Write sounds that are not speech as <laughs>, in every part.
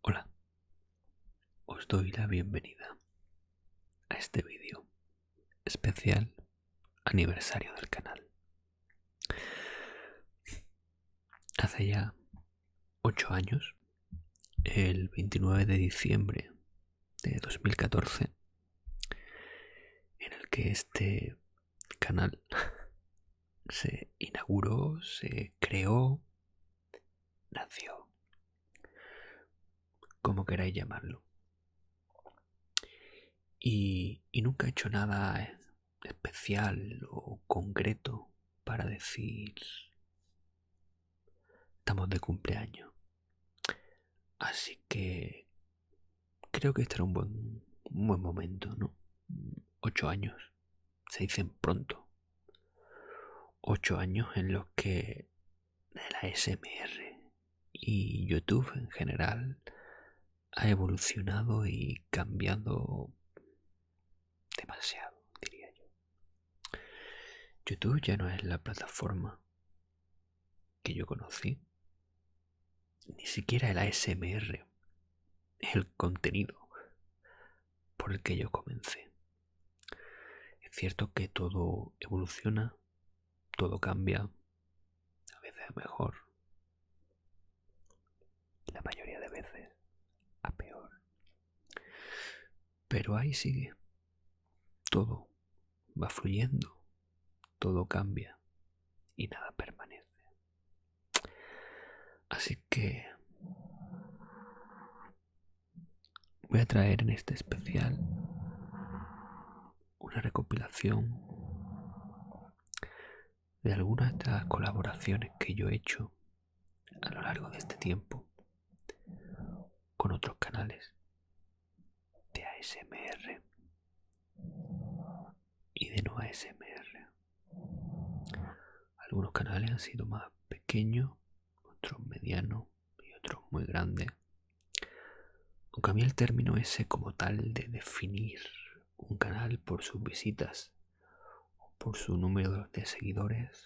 Hola, os doy la bienvenida a este vídeo especial aniversario del canal. Hace ya ocho años, el 29 de diciembre de 2014, en el que este canal <laughs> se inauguró, se creó, nació, como queráis llamarlo. Y, y nunca he hecho nada especial o concreto para decir Estamos de cumpleaños. Así que creo que estará un buen, buen momento, ¿no? Ocho años. Se dicen pronto. Ocho años en los que la SMR y YouTube en general ha evolucionado y cambiado demasiado, diría yo. YouTube ya no es la plataforma que yo conocí. Ni siquiera el ASMR. El contenido por el que yo comencé. Es cierto que todo evoluciona, todo cambia, a veces a mejor, la mayoría de veces a peor. Pero ahí sigue. Todo va fluyendo, todo cambia y nada permanece. Así que voy a traer en este especial una recopilación de algunas de las colaboraciones que yo he hecho a lo largo de este tiempo con otros canales de ASMR y de no ASMR. Algunos canales han sido más pequeños, otros medianos y otros muy grandes. Aunque a el término ese como tal de definir un canal por sus visitas o por su número de seguidores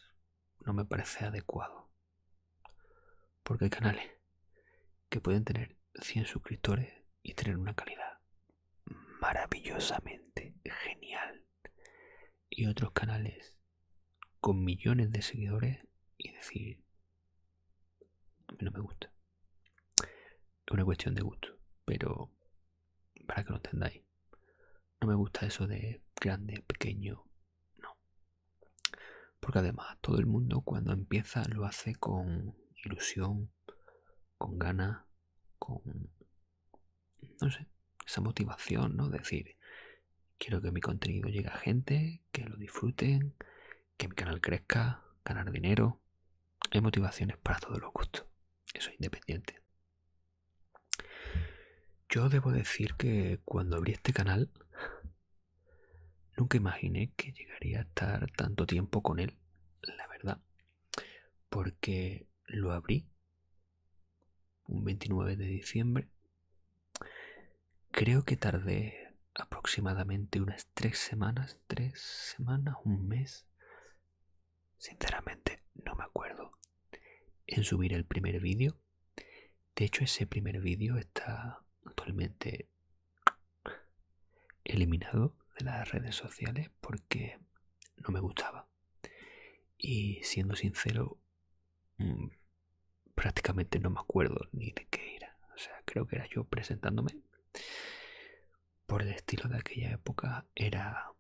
no me parece adecuado. Porque hay canales que pueden tener 100 suscriptores y tener una calidad maravillosamente genial. Y otros canales con millones de seguidores y decir, no me gusta. una cuestión de gusto, pero para que lo entendáis, no me gusta eso de grande, pequeño, no. Porque además todo el mundo cuando empieza lo hace con ilusión, con ganas, con, no sé, esa motivación, ¿no? Decir, quiero que mi contenido llegue a gente, que lo disfruten, que mi canal crezca, ganar dinero. Hay motivaciones para todos los gustos. Eso es independiente. Yo debo decir que cuando abrí este canal nunca imaginé que llegaría a estar tanto tiempo con él, la verdad, porque lo abrí un 29 de diciembre. Creo que tardé aproximadamente unas tres semanas, tres semanas, un mes Sinceramente no me acuerdo en subir el primer vídeo. De hecho ese primer vídeo está actualmente eliminado de las redes sociales porque no me gustaba. Y siendo sincero, mm, prácticamente no me acuerdo ni de qué era. O sea, creo que era yo presentándome. Por el estilo de aquella época era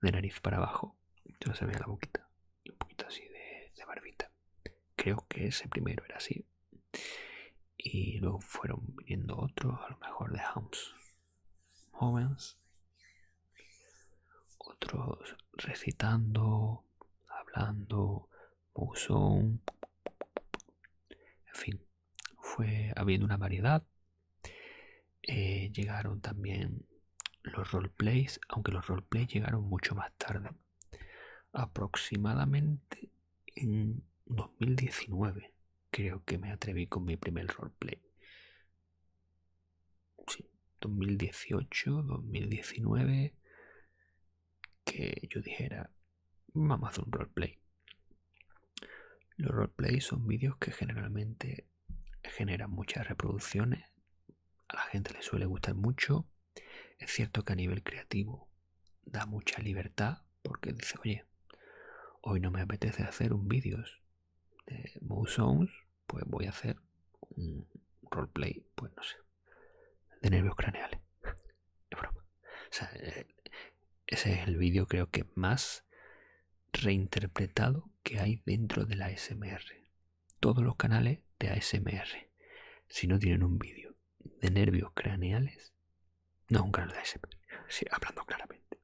de nariz para abajo. yo se veía la boquita. un poquito así de, barbita. Creo que ese primero era así. Y luego fueron viendo otros, a lo mejor de Hounds jóvenes. Otros recitando, hablando, musón. En fin, fue habiendo una variedad eh, llegaron también los roleplays, aunque los roleplays llegaron mucho más tarde, aproximadamente en 2019 creo que me atreví con mi primer roleplay. Sí, 2018, 2019, que yo dijera, vamos a hacer un roleplay. Los roleplays son vídeos que generalmente genera muchas reproducciones, a la gente le suele gustar mucho. Es cierto que a nivel creativo da mucha libertad porque dice, oye, hoy no me apetece hacer un vídeos de Mood pues voy a hacer un roleplay, pues no sé, de nervios craneales. <laughs> broma. Eh, ese es el vídeo creo que más reinterpretado que hay dentro de la ASMR. Todos los canales de ASMR, si no tienen un vídeo de nervios craneales, no un canal de ASMR, sí, hablando claramente.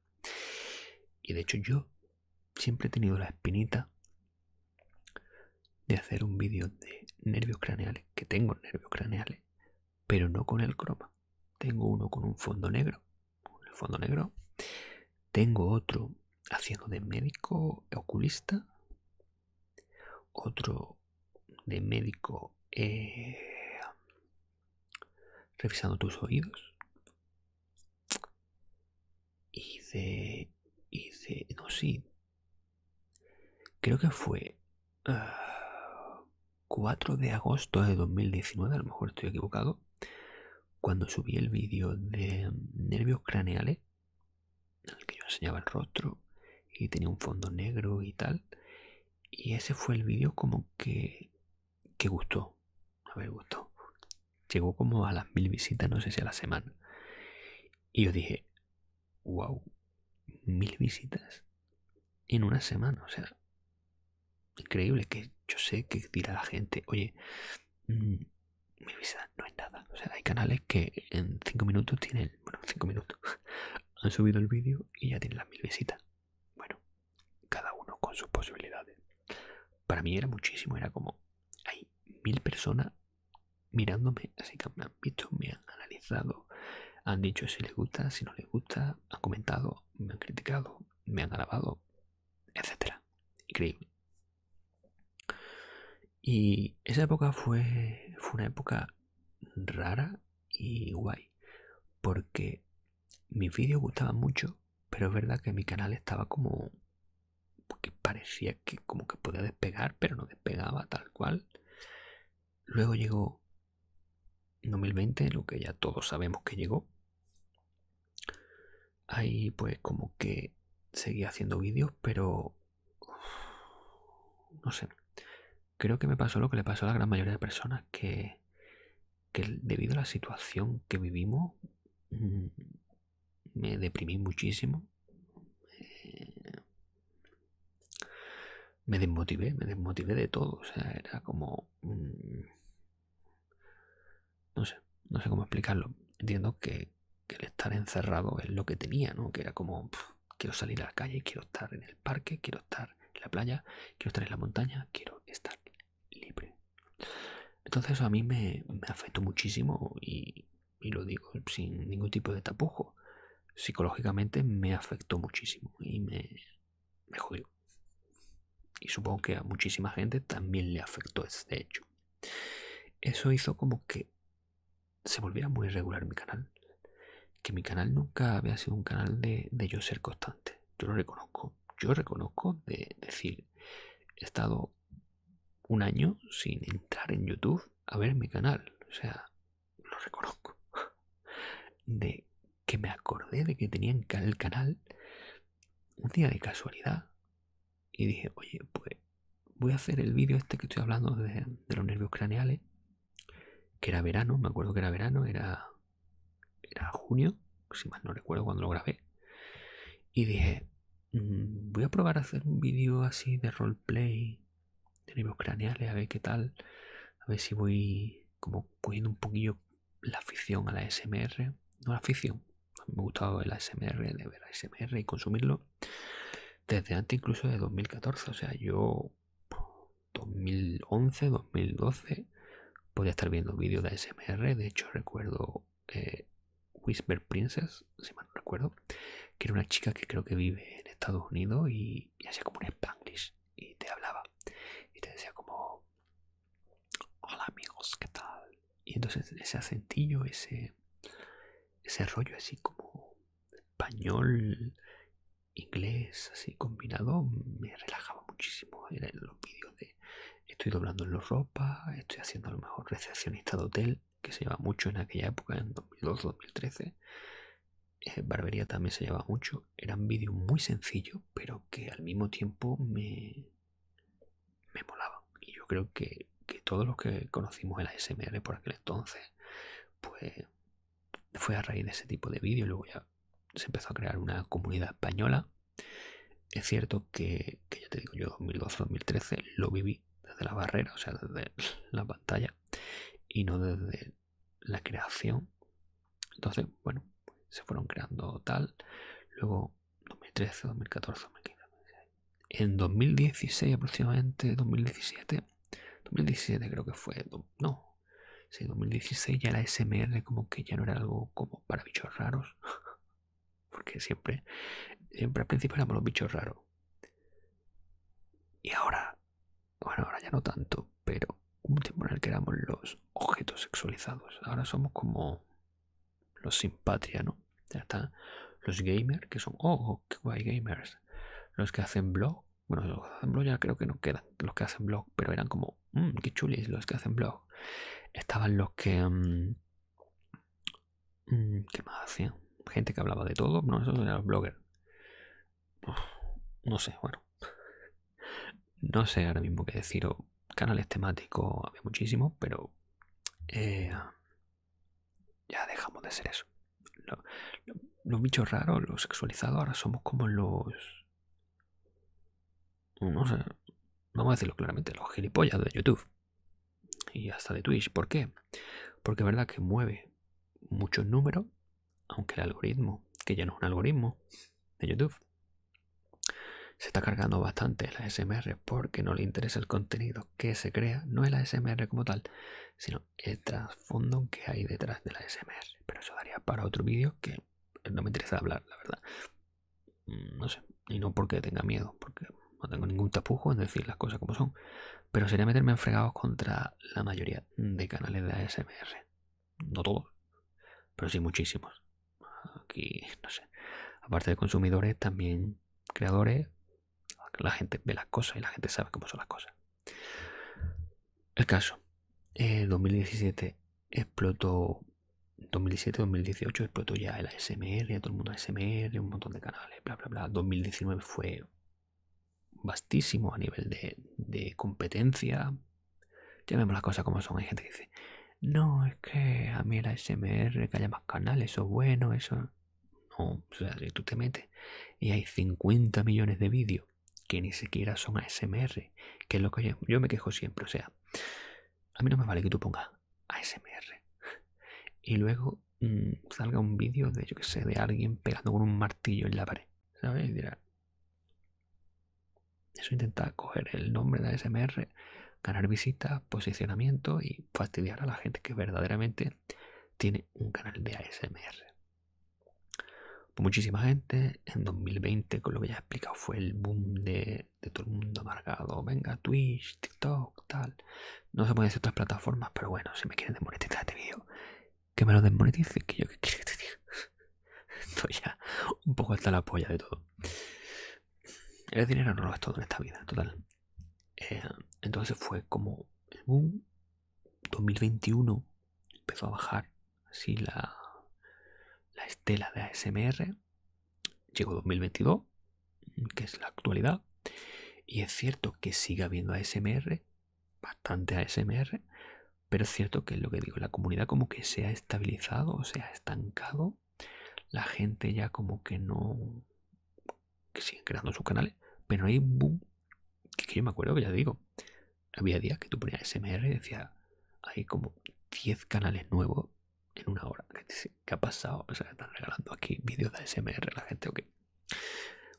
Y de hecho yo siempre he tenido la espinita de hacer un vídeo de nervios craneales, que tengo nervios craneales, pero no con el croma. Tengo uno con un fondo negro el fondo negro. Tengo otro haciendo de médico oculista. Otro de médico eh, revisando tus oídos. Y de, y de... No, sí. Creo que fue... Ah, 4 de agosto de 2019, a lo mejor estoy equivocado, cuando subí el vídeo de nervios craneales, en el que yo enseñaba el rostro y tenía un fondo negro y tal. Y ese fue el vídeo como que, que gustó. A ver, gustó. Llegó como a las mil visitas, no sé si a la semana. Y yo dije, wow, mil visitas en una semana. O sea, increíble que yo sé que dirá la gente, oye, mm, mi visita no es nada. O sea, hay canales que en cinco minutos tienen, bueno, cinco minutos, <laughs> han subido el vídeo y ya tienen las mil visitas. Bueno, cada uno con sus posibilidades. Para mí era muchísimo, era como, hay mil personas mirándome, así que me han visto, me han analizado, han dicho si les gusta, si no les gusta, han comentado, me han criticado, me han grabado, etcétera. Increíble. Y esa época fue, fue una época rara y guay, porque mis vídeos gustaban mucho, pero es verdad que mi canal estaba como que parecía que como que podía despegar, pero no despegaba tal cual. Luego llegó 2020, lo que ya todos sabemos que llegó. Ahí pues como que seguía haciendo vídeos, pero... No sé. Creo que me pasó lo que le pasó a la gran mayoría de personas, que, que debido a la situación que vivimos, mm, me deprimí muchísimo. Eh, me desmotivé, me desmotivé de todo. O sea, era como... Mm, no sé, no sé cómo explicarlo. Entiendo que, el estar encerrado es lo que tenía, ¿no? Que era como, quiero salir a la calle, quiero estar en el parque, quiero estar en la playa, quiero estar en la montaña, quiero estar libre. Entonces eso a mí me, afectó muchísimo y, lo digo sin ningún tipo de tapujo. Psicológicamente me afectó muchísimo y me, me y supongo que a muchísima gente también le afectó este hecho. Eso hizo como que se volviera muy irregular mi canal. Que mi canal nunca había sido un canal de, de yo ser constante. Yo lo reconozco. Yo reconozco de decir, he estado un año sin entrar en YouTube a ver mi canal. O sea, lo reconozco. <laughs> De que me acordé de que tenían el canal un día de casualidad y dije, oye, pues voy a hacer el vídeo este que estoy hablando de, los nervios craneales, que era verano, me acuerdo que era verano, era, era junio, si mal no recuerdo cuando lo grabé, y dije, mm, voy a probar a hacer un vídeo así de roleplay, de nervios craneales, a ver qué tal, a ver si voy como poniendo un poquillo la afición a la SMR, no la afición, me ha gustado la SMR de ver SMR y consumirlo desde antes incluso de 2014, o sea, yo 2011, 2012 podía estar viendo vídeos de SMR de hecho recuerdo eh, Whisper Princess, si mal no recuerdo, que era una chica que creo que vive en Estados Unidos y, hacía como un Spanglish y te hablaba y te decía como hola amigos qué tal y entonces ese acentillo ese ese rollo así como español inglés así combinado me relajaba muchísimo era en los vídeos de estoy doblando en la ropa estoy haciendo a lo mejor recepcionista de hotel que se lleva mucho en aquella época en 2002 2013 eh, barbería también se llevaba mucho. eran vídeos muy sencillos pero que al mismo tiempo me, molaban Y yo creo que, todos los que conocimos el ASMR por aquel entonces, pues fue a raíz de ese tipo de vídeos. Luego ya se empezó a crear una comunidad española. Es cierto que, que ya te digo, yo 2012-2013 lo viví desde la barrera, o sea, desde la pantalla, y no desde la creación. Entonces, bueno, se fueron creando tal. Luego, 2013, 2014, En 2016 aproximadamente, 2017, 2017 creo que fue, no, sí, 2016 ya la SMR como que ya no era algo como para bichos raros. <laughs> Porque siempre, siempre al principio éramos los bichos raros. Y ahora bueno, ahora ya no tanto, pero un tiempo en el que éramos los objetos sexualizados. Ahora somos como los sin ¿no? Ya están los gamers, que son, oh, oh, qué guay gamers. Los que hacen blog, bueno, los que hacen blog ya creo que no quedan, los que hacen blog, pero eran como, mm, qué chulis los que hacen blog. Estaban los que... Mm, mm, ¿Qué más hacían? Gente que hablaba de todo, no, esos eran los bloggers no sé, bueno. No sé ahora mismo qué deciros. Canales temáticos había muchísimos, pero eh, ya dejamos de ser eso. Los, bichos raros, los sexualizados, ahora somos como los... No sé, vamos a decirlo claramente, los gilipollas de YouTube y hasta de Twitch. ¿Por qué? Porque es verdad que mueve muchos números aunque el algoritmo, que ya no es un algoritmo de YouTube, se está cargando bastante la SMR porque no le interesa el contenido que se crea, no es la SMR como tal, sino el trasfondo que hay detrás de la SMR. Pero eso daría para otro vídeo que no me interesa hablar, la verdad. Mm, no sé, y no porque tenga miedo, porque no tengo ningún tapujo en decir las cosas como son, pero sería meterme enfregados contra la mayoría de canales de SMR. No todos, pero sí muchísimos. Aquí, no sé. Aparte de consumidores, también creadores. La gente ve las cosas y la gente sabe cómo son las cosas. El caso. En 2017 explotó 2017-2018 explotó ya el ASMR, todo el mundo ASMR, un montón de canales, bla, bla, bla. 2019 fue Bastísimo a nivel de, competencia. Ya las cosas como son. Hay gente que dice, no, es que a mí la SMR, que haya más canales, eso es bueno, eso... No, o sea, tú te metes y hay 50 millones de vídeos que ni siquiera son SMR que es lo que yo, me quejo siempre, o sea, a mí no me vale que tú pongas SMR y luego mm, salga un vídeo de, yo que sé, de alguien pegando con un martillo en la pared, ¿sabes? Eso intenta coger el nombre de ASMR, ganar visitas, posicionamiento y fastidiar a la gente que verdaderamente tiene un canal de ASMR. Pues muchísima gente en 2020, con lo que ya he explicado, fue el boom de, todo el mundo amargado. Venga, Twitch, TikTok, tal. No se pueden hacer otras plataformas, pero bueno, si me quieren demonetizar este vídeo, que me lo desmonetice, que yo que quiero que te diga. <laughs> Esto ya un poco hasta la polla de todo. El dinero no lo es todo en esta vida, total. Eh, entonces fue como en 2021 empezó a bajar así la, la estela de ASMR. Llegó 2022, que es la actualidad. Y es cierto que sigue habiendo ASMR, bastante ASMR, pero es cierto que lo que digo, la comunidad como que se ha estabilizado, se ha estancado, la gente ya como que no, que siguen creando sus canales, pero hay un boom, que yo me acuerdo que ya digo, había días que tú ponías smr y decía, hay como 10 canales nuevos en una hora, que ha pasado? O sea, están regalando aquí vídeos de ASMR la gente, o que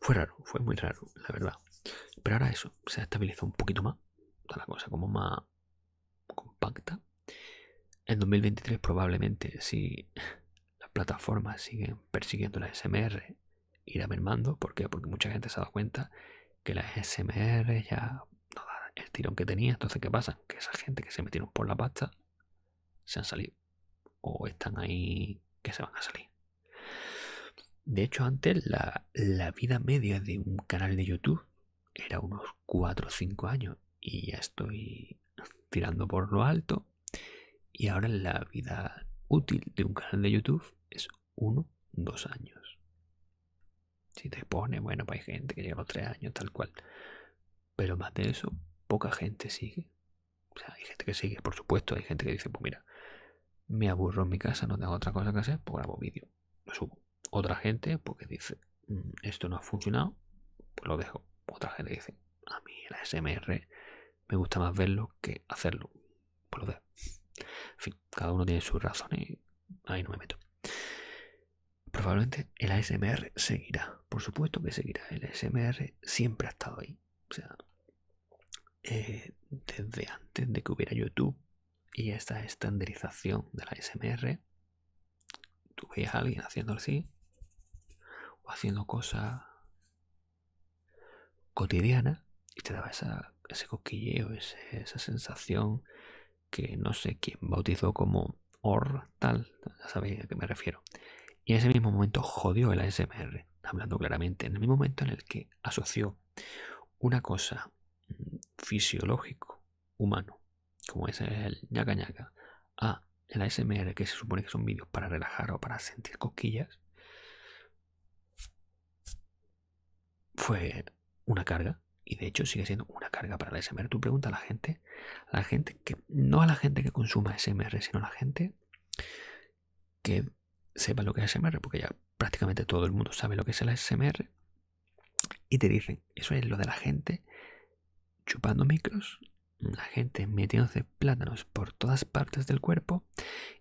fue raro, fue muy raro, la verdad. Pero ahora eso, se ha estabilizado un poquito más. la cosa como más compacta. En 2023 probablemente si las plataformas siguen persiguiendo las SMR irá mermando. ¿Por qué? Porque mucha gente se ha dado cuenta que las SMR ya no dan el tirón que tenía. Entonces, ¿qué pasa? Que esa gente que se metieron por la pasta se han salido. O están ahí que se van a salir. De hecho, antes la, vida media de un canal de YouTube era unos 4 o 5 años y ya estoy tirando por lo alto. Y ahora la vida útil de un canal de YouTube es 1 2 años. Si te pone, bueno, pues hay gente que llega a 3 años, tal cual. Pero más de eso, poca gente sigue hay gente que sigue, por supuesto, hay gente que dice, pues mira, me aburro en mi casa, no tengo otra cosa que hacer, pues grabo vídeo, lo subo. Otra gente, porque pues, dice, mm, esto no ha funcionado, pues lo dejo. Otra gente dice, a mí el ASMR me gusta más verlo que hacerlo, pues lo dejo. En fin, cada uno tiene sus razones y ahí no me meto. Probablemente el ASMR seguirá, por supuesto que seguirá. El ASMR siempre ha estado ahí. O sea, eh, desde antes de que hubiera YouTube y esta estandarización de la SMR, tú a alguien haciendo así o haciendo cosas cotidianas y te daba ese coquilleo, esa sensación que no sé quién bautizó como OR tal, ya sabéis a qué me refiero. Y en ese mismo momento jodió la SMR hablando claramente, en el mismo momento en el que asoció una cosa mm, fisiológico, humano, como es el ñaca ñaca, a el ASMR, que se supone que son vídeos para relajar o para sentir cosquillas, fue una carga y de hecho sigue siendo una carga para la SMR. Tú preguntas a la gente, a la gente que no a la gente que consuma SMR, sino a la gente que sepa lo que es ASMR, porque ya prácticamente todo el mundo sabe lo que es el ASMR, y te dicen, eso es lo de la gente chupando micros, la gente metiéndose plátanos por todas partes del cuerpo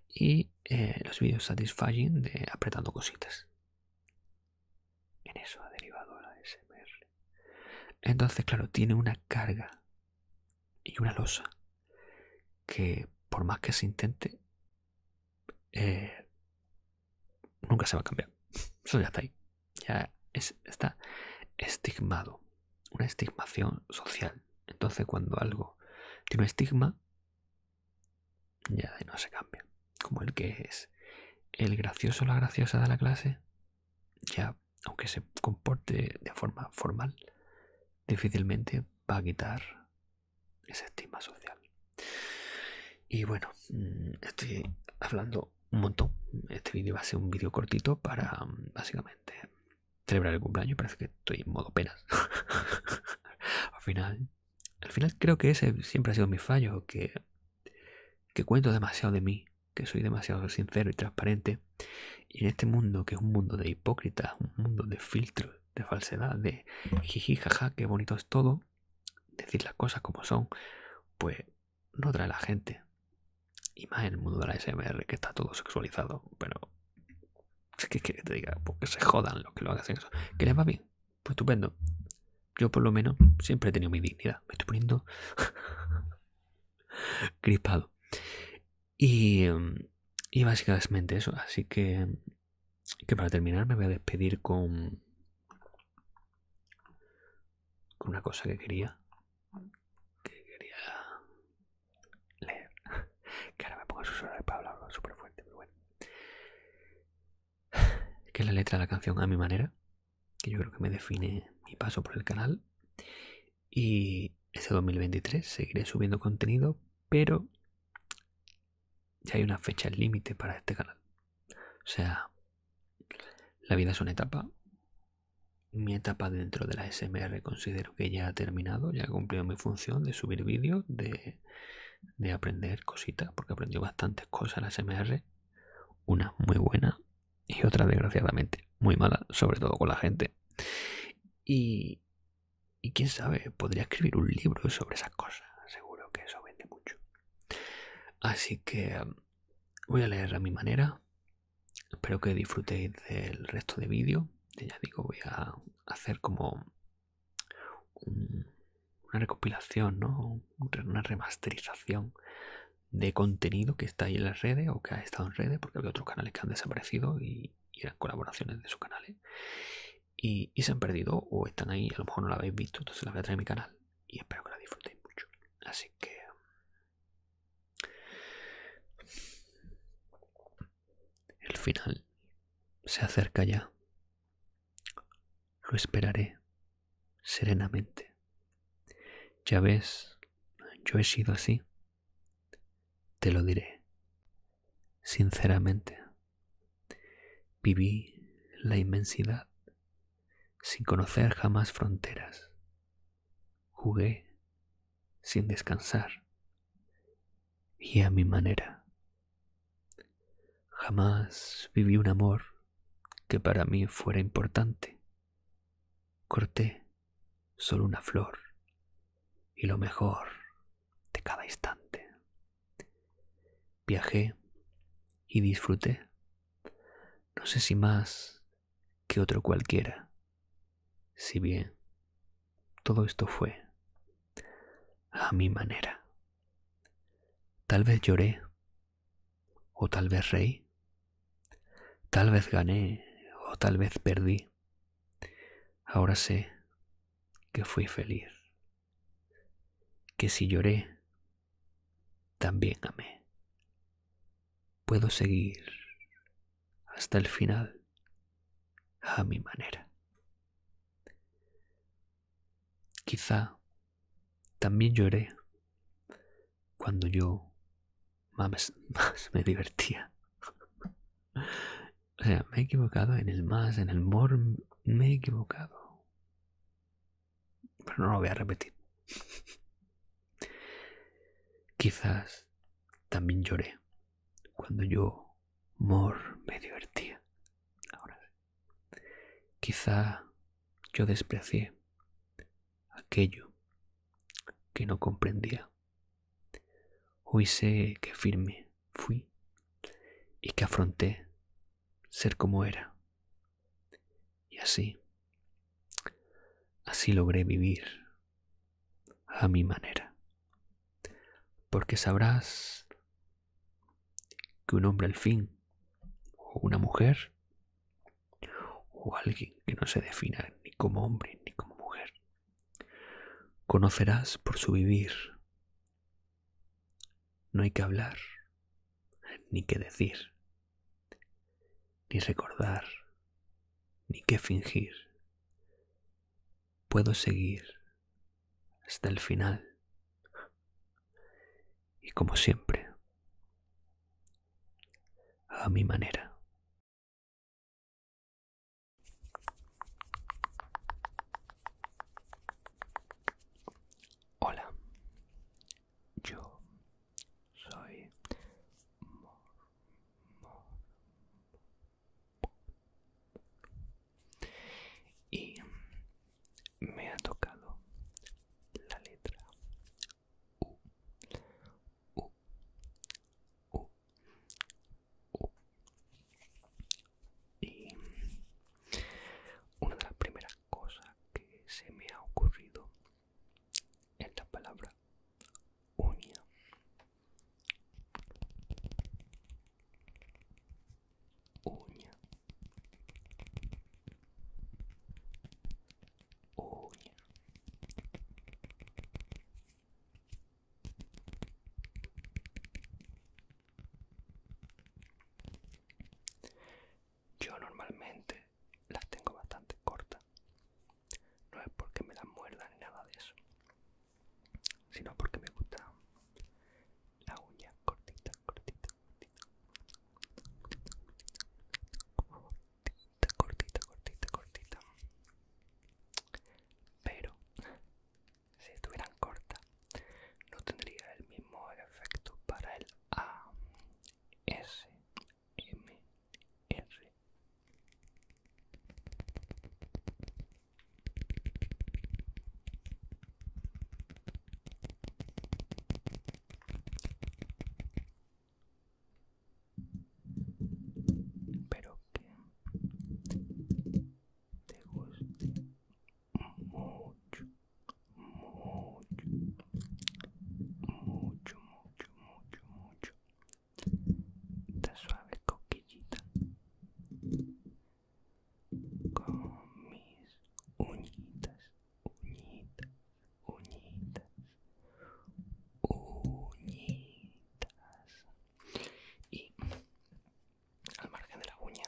y eh, los vídeos satisfying de apretando cositas. En eso ha derivado la smr Entonces, claro, tiene una carga y una losa que por más que se intente eh, nunca se va a cambiar <laughs> eso ya está ahí ya está estigmado una estigmación social entonces cuando algo tiene un estigma ya no se cambia como el que es el gracioso o la graciosa de la clase ya aunque se comporte de forma formal difícilmente va a quitar ese estigma social. Y bueno, mm, estoy hablando un montón. Este vídeo va a ser un vídeo cortito para mm, básicamente celebrar el cumpleaños. Parece que estoy en modo penas. <laughs> al final, al final creo que ese siempre ha sido mi fallo, que, que cuento demasiado de mí, que soy demasiado sincero y transparente y en este mundo, que es un mundo de hipócritas, un mundo de filtros, de falsedad, de jiji, jaja, qué bonito es todo, decir las cosas como son, pues no trae la gente. Y más en el mundo de la SMR, que está todo sexualizado, pero es que, diga, porque pues se jodan los que lo hacen eso. Que les va bien, pues estupendo. Yo por lo menos siempre he tenido mi dignidad. Me estoy poniendo <laughs> crispado. Em, y, básicamente eso. Así que, que para terminar me voy a despedir con, con una cosa que quería. Que quería leer. <laughs> Que ahora me pongo a susurrar para hablarlo súper fuerte, bueno. <sighs> Que es la letra de la canción a mi manera. Que yo creo que me define mi paso por el canal. Y ese 2023 seguiré subiendo contenido, pero ya hay una fecha límite para este canal. O sea, la vida es una etapa. Mi etapa dentro de la SMR considero que ya ha terminado, ya ha cumplido mi función de subir vídeos, de, aprender cositas, porque aprendió bastantes cosas en la SMR. Una muy buena y otra desgraciadamente muy mala, sobre todo con la gente. Y, quién sabe, podría escribir un libro sobre esas cosas. Seguro que eso vende mucho. Así que um, voy a leer a mi manera. Espero que disfrutéis del resto de vídeo. Ya digo, voy a hacer como una recopilación, ¿no? una remasterización de contenido que está ahí en las redes o que ha estado en redes, porque había otros canales que han desaparecido y, eran colaboraciones de sus canales y, y se han perdido o están ahí, a lo mejor no la habéis visto, entonces la voy a traer a mi canal y espero que la disfrutéis mucho. Así que... El final se acerca ya. Lo esperaré serenamente. Ya ves, yo he sido así, te lo diré, sinceramente, viví la inmensidad sin conocer jamás fronteras. Jugué sin descansar y a mi manera. Jamás viví un amor que para mí fuera importante. Corté solo una flor y lo mejor de cada instante. Viajé y disfruté, no sé si más que otro cualquiera, si bien todo esto fue a mi manera. Tal vez lloré o tal vez reí Tal vez gané o tal vez perdí. Ahora sé que fui feliz. Que si lloré, también amé. Puedo seguir hasta el final a mi manera. Quizá también lloré cuando yo <laughs> más, me divertía. o sea, me he equivocado en el más, en el mor, me he equivocado. Pero no lo voy a repetir. <laughs> Quizás también lloré cuando yo mor me divertía. Ahora, quizá yo desprecié aquello que no comprendía. Hoy sé que firme fui y que afronté ser como era. Y así, así logré vivir a mi manera. Porque sabrás que un hombre al fin, o una mujer, o alguien que no se defina ni como hombre ni como mujer. Conocerás por su vivir. No hay que hablar, ni que decir, ni recordar, ni que fingir. Puedo seguir hasta el final. Y como siempre, a mi manera. Hola, yo soy Mor, y me ha tocado la letra una de las primeras cosas que se me ha ocurrido es la palabra uña. Uña. Oh, Yo normalmente las tengo bastante cortas. No es porque me las muerdan ni nada de eso. Sino porque me gusta la uña cortita cortita, cortita, cortita, Pero si estuvieran cortas, no tendría el mismo efecto para el A, S, M, R. Espero que te guste mucho, mucho, mucho, mucho, mucho, mucho. Esta suave coquillita con mis uñitas uñitas, uñitas, uñitas. Y al margen de la uña,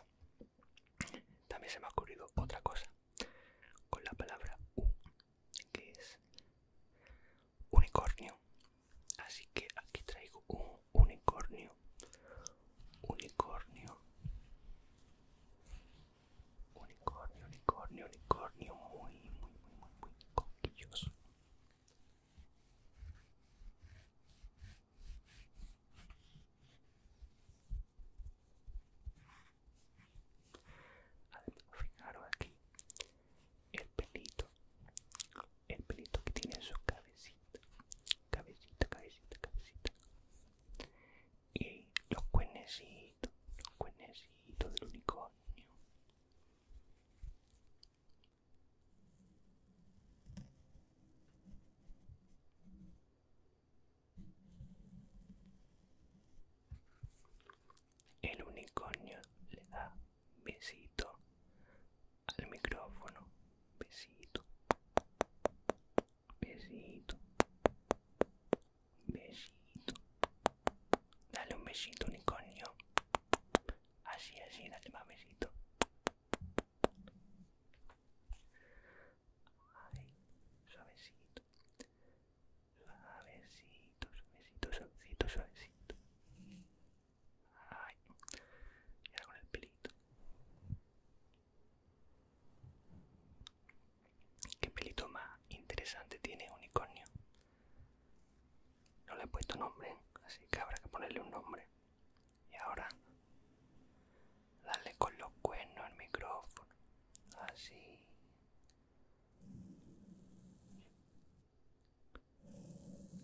también se me ha ocurrido otra cosa con la palabra U, que es unicornio. Así que aquí traigo un unicornio, unicornio, Unicornio, unicornio, unicornio, muy, muy, muy, muy, muy coquilloso. Fijaros aquí el pelito, el pelito que tiene en su cabecita, cabecita, cabecita, cabecita y los cuernecitos, los del unicornio. El unicornio le da besito al micrófono, besito, besito, un besito. Dale un besito, coño, Así, así, dale más besito. Ay, suavecito. Suavecito, suavecito, suavecito, suavecito. Ay, y ahora con el pelito. ¿Qué pelito más interesante tiene unicornio? No le he puesto nombre, así que habrá que ponerle un nombre. Y ahora, darle con los cuernos al micrófono. Así.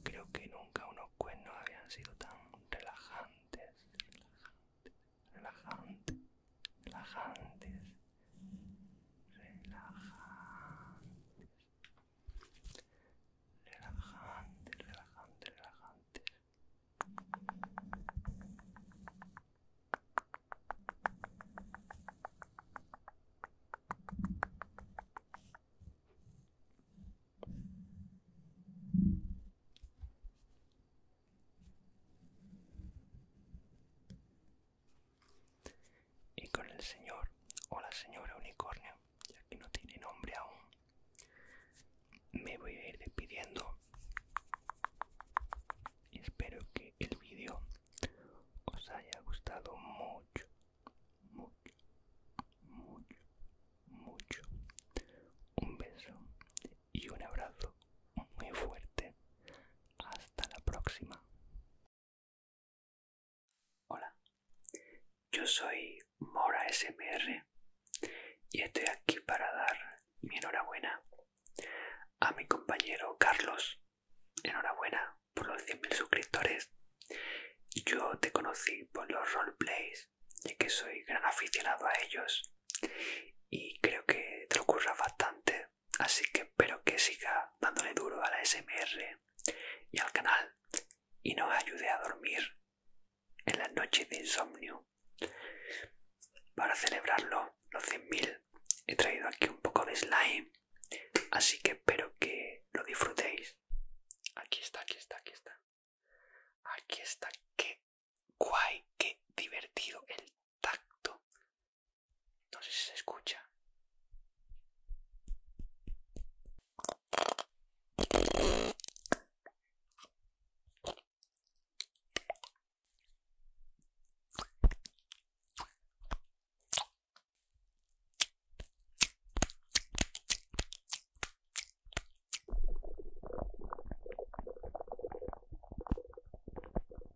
Creo que nunca unos cuernos habían sido tan relajantes, relajantes, relajantes relajantes, relajantes, relajantes, relajantes, relajantes. Y con el señor o la señora unicornio, ya que no tiene nombre aún, me voy a ir despidiendo. Y espero que el vídeo os haya gustado mucho, mucho, mucho, mucho. Un beso y un abrazo muy fuerte. Hasta la próxima. Hola, yo soy Mora SMR y estoy aquí para dar mi enhorabuena a mi compañero Carlos. Enhorabuena por los 100.000 suscriptores. Yo te conocí por los roleplays, ya que soy gran aficionado a ellos y creo que te lo curras bastante así que espero que siga dándole duro a la SMR y al canal y nos ayude a dormir en las noches de insomnio. Para celebrarlo, los 100.000, he traído aquí un poco de slime, así que espero que lo disfrutéis. Aquí está, aquí está, aquí está. Aquí está, qué guay, que divertido el tacto. No sé si se escucha.